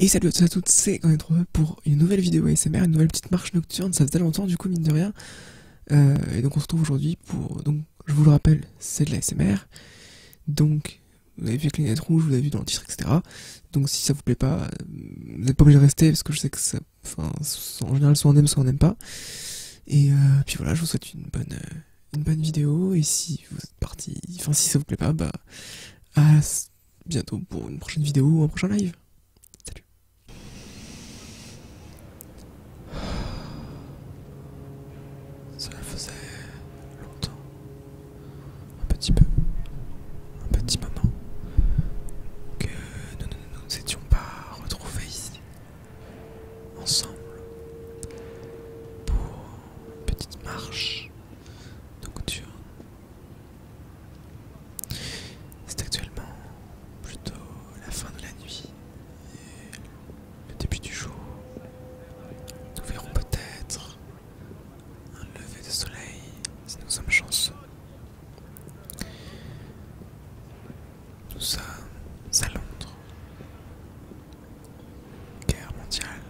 Et salut à tous et à toutes, c'est quand même pour une nouvelle vidéo ASMR, une nouvelle petite marche nocturne, ça faisait longtemps du coup mine de rien. Euh, et donc on se retrouve aujourd'hui pour, donc je vous le rappelle, c'est de l'ASMR. Donc vous avez vu avec les lunettes rouges, vous avez vu dans le titre, etc. Donc si ça vous plaît pas, vous n'êtes pas obligé de rester parce que je sais que ça, enfin, en général soit on aime, soit on n'aime pas. Et euh, puis voilà, je vous souhaite une bonne, euh, une bonne vidéo et si vous êtes parti, enfin si ça vous plaît pas, bah à bientôt pour une prochaine vidéo ou un prochain live. Salut. Ça faisait longtemps. Un petit peu. Un petit moment. Que nous ne nous étions pas retrouvés ici. Ensemble. Pour une petite marche nocturne. C'est actuellement plutôt la fin de la nuit et le début du jour. Nous verrons peut-être un lever de soleil si nous sommes chanceux. Nous sommes à Londres. Guerre mondiale.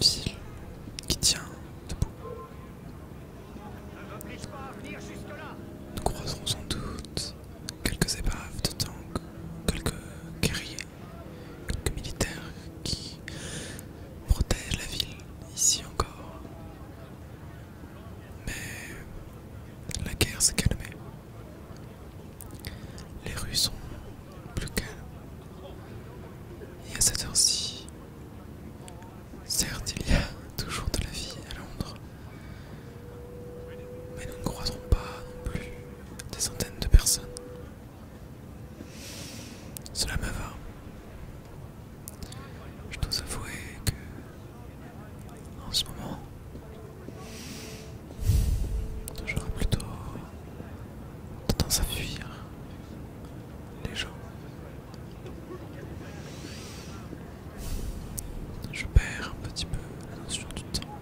Ville qui tient debout. Nous croiserons sans doute quelques épaves de tanks, quelques guerriers, quelques militaires qui protègent la ville ici encore. Mais la guerre s'est calmée. Les rues sont plus calmes. Et à cette heure-ci, certes, il y a toujours de la vie à Londres, mais nous ne croiserons pas non plus des centaines de personnes. Cela me va. Je dois avouer que en ce moment, Toujours plutôt tendance à fuir les gens. Je perds un petit peu la notion du temps,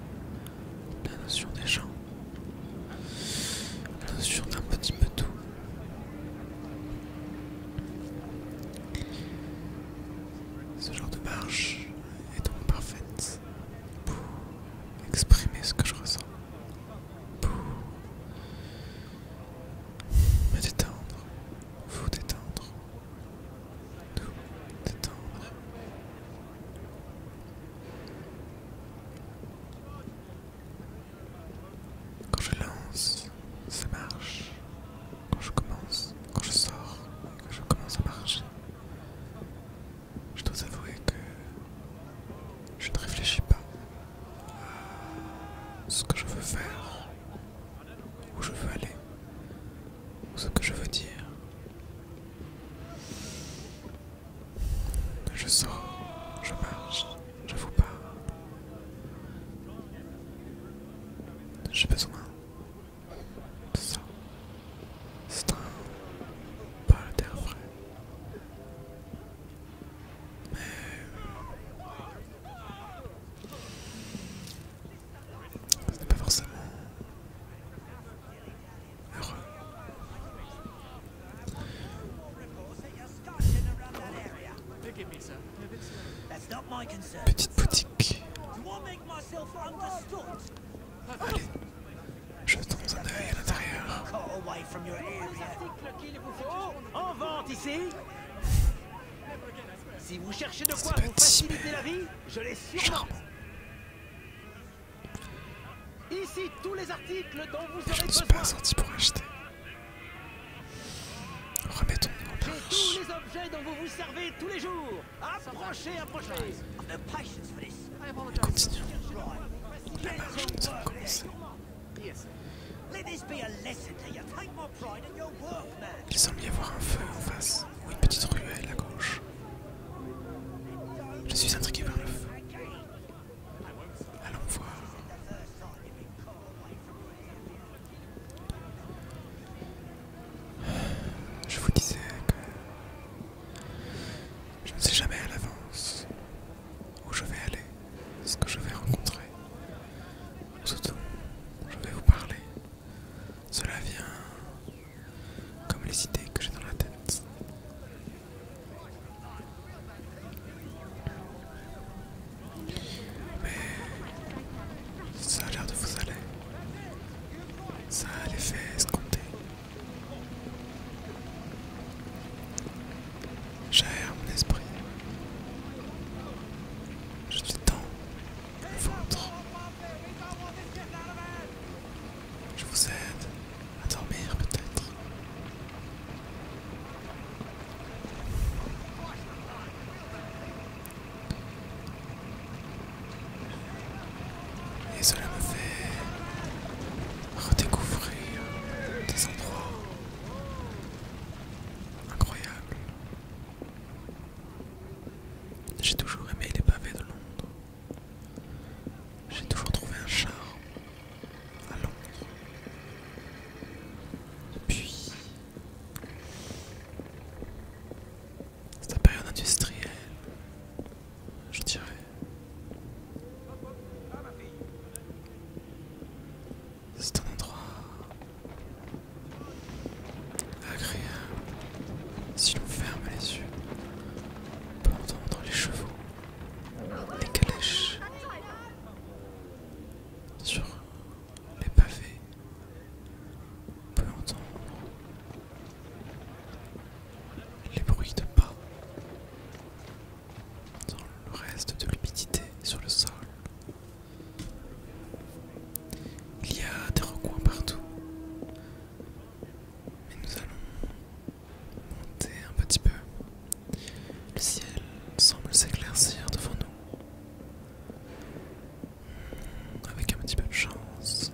la notion des gens, la notion d'un petit peu tout. Ce genre de marche est donc parfaite pour exprimer ce que je ressens, pour me détendre, vous détendre, Tout détendre. Quand je lance, ça marche. Quand je commence, quand je sors, quand je commence à marcher, je dois avouer que je ne réfléchis pas à ce que je veux faire, où je veux aller, ou ce que je veux dire. Je sors, je marche, je vous parle. J'ai besoin ça c'est un pas terre frais mais ce n'est pas forcément heureux Petite boutique. Allez, Jetons un œil à l'intérieur. En vente ici Si vous cherchez de quoi vous faciliter la vie, je les sûrement. Ici tous les articles dont vous aurez besoin. Je ne suis pas sorti pour acheter. remettons tous les objets dont vous vous servez tous les jours. Approchez, approchez On continue. La marche nous a Il semble y avoir un feu en face, ou une petite ruelle à gauche. Je suis intrigué par le feu. Allons voir. Je vous disais que je ne sais jamais à l'avance où je vais aller, ce que je vais rencontrer. Surtout, je vais vous parler. Cela vient comme les idées que j'ai dans la tête. Mais ça a l'air de vous aller. Ça a l'effet escompter. J'ai mon esprit. Je suis temps. Je vous aide à dormir peut-être. Et cela me fait redécouvrir des endroits incroyables. J'ai toujours aimé les pavés de Londres. J'ai toujours trouvé un charme à Londres. Puis, c'est la période industrielle, je dirais. C'est un endroit agréable si l'on ferme les yeux peut entendre les chevaux, les calèches sur les pavés on peut entendre les bruits de pas dans le reste de l'humidité sur le sol. Il y a des recoins partout, mais nous allons monter un petit peu. Le ciel semble s'éclaircir devant nous. Avec un petit peu de chance,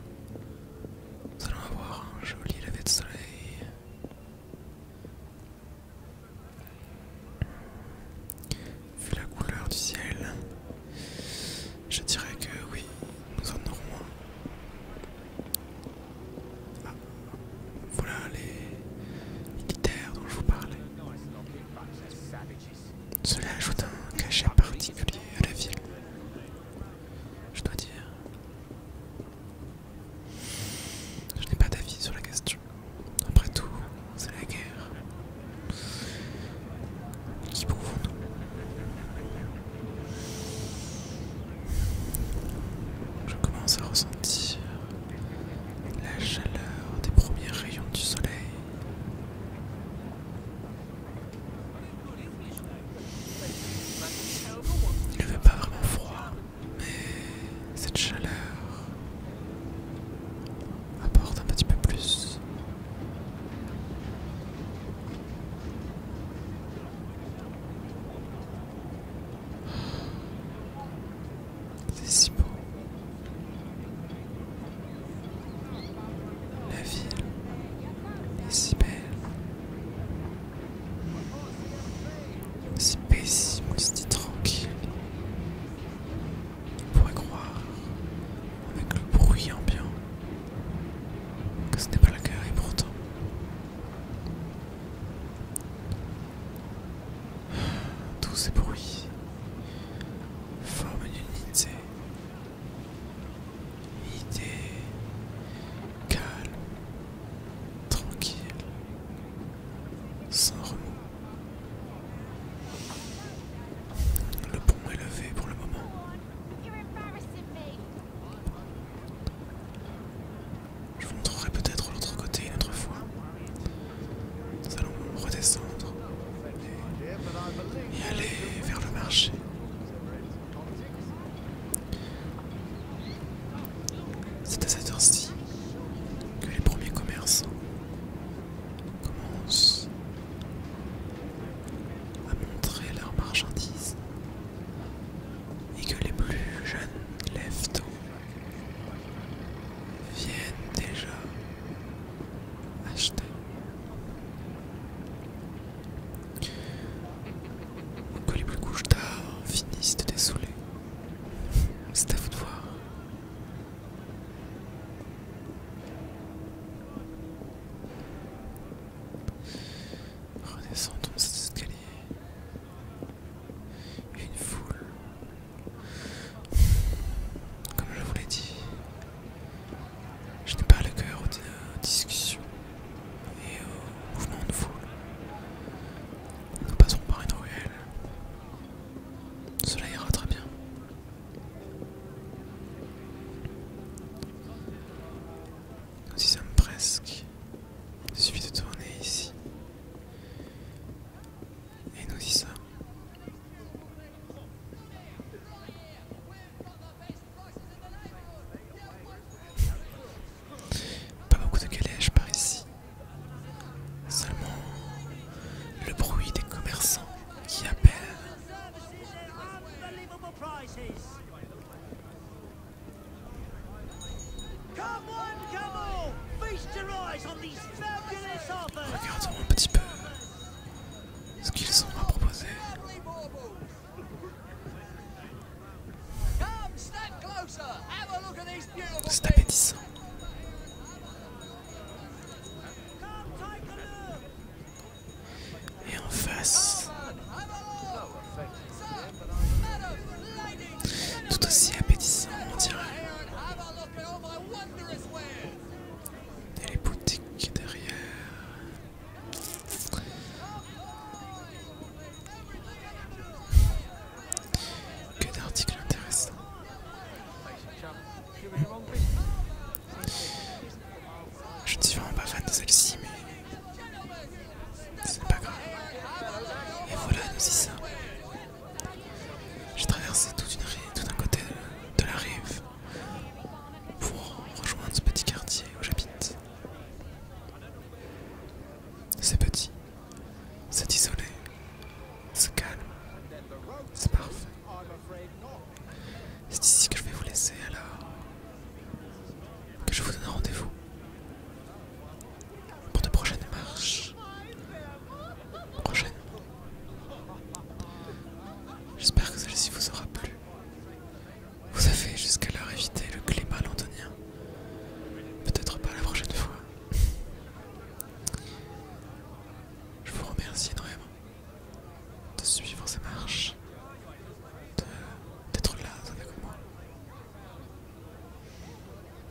nous allons avoir un joli lever de soleil. Vu la couleur du ciel, je dirais que oui, nous en aurons un. Ah, voilà les militaires dont je vous parlais. Cela ajoute un cachet particulier à la ville. Je dois dire. Je n'ai pas d'avis sur la question. Après tout, c'est la guerre. Qui nous Je commence à ressentir la chaleur des premiers rayons du soleil. Il ne fait pas vraiment froid, mais cette chaleur apporte un petit peu plus. C'est si beau. La ville est si belle, si paisible, si tranquille. On pourrait croire, avec le bruit ambiant, que ce n'est pas le guerre et pourtant. Tous ces bruits forment une unité idée calme, tranquille, sans remous. Le pont est levé pour le moment. Je vous montrerai peut-être l'autre côté une autre fois. Nous allons redescendre et, aller vers le marché. C'est à cette heure-ci que les premiers commerçants commencent à montrer leurs marchandises et que les plus jeunes lèvent viennent déjà acheter. Que les plus couches d'art finissent de désoler. C'est à vous de voir. Redescendons cet escalier. Une foule comme je vous l'ai dit, je n'ai pas le cœur aux discussions et aux euh, mouvements de foule. Nous passerons par une ruelle. Cela ira très bien. Nous y sommes presque. Il suffit de tourner ici. Et nous y sommes. Pas beaucoup de calèches par ici. Seulement le bruit des commerçants qui appellent. Regardons un petit peu ce qu'ils ont à proposer. C'est appétissant. Et en face, tout aussi appétissant, on dirait. Et les boutiques derrière. Que d'articles intéressants. Je ne suis vraiment pas fan de celle-ci, mais c'est pas grave. Et voilà, nous y sommes. J'ai traversé tout, une rive, tout un côté de la rive pour rejoindre ce petit quartier où j'habite. C'est petit, c'est isolé, c'est calme, c'est parfait. C'est ici que je vais vous laisser alors que je vous donne rendez-vous pour de prochaines marches Prochaine. J'espère que celle-ci vous aura plu. Vous avez jusqu'à évité le climat londonien. Peut-être pas la prochaine fois. Je vous remercie énormément de suivre ces marches, d'être là avec moi.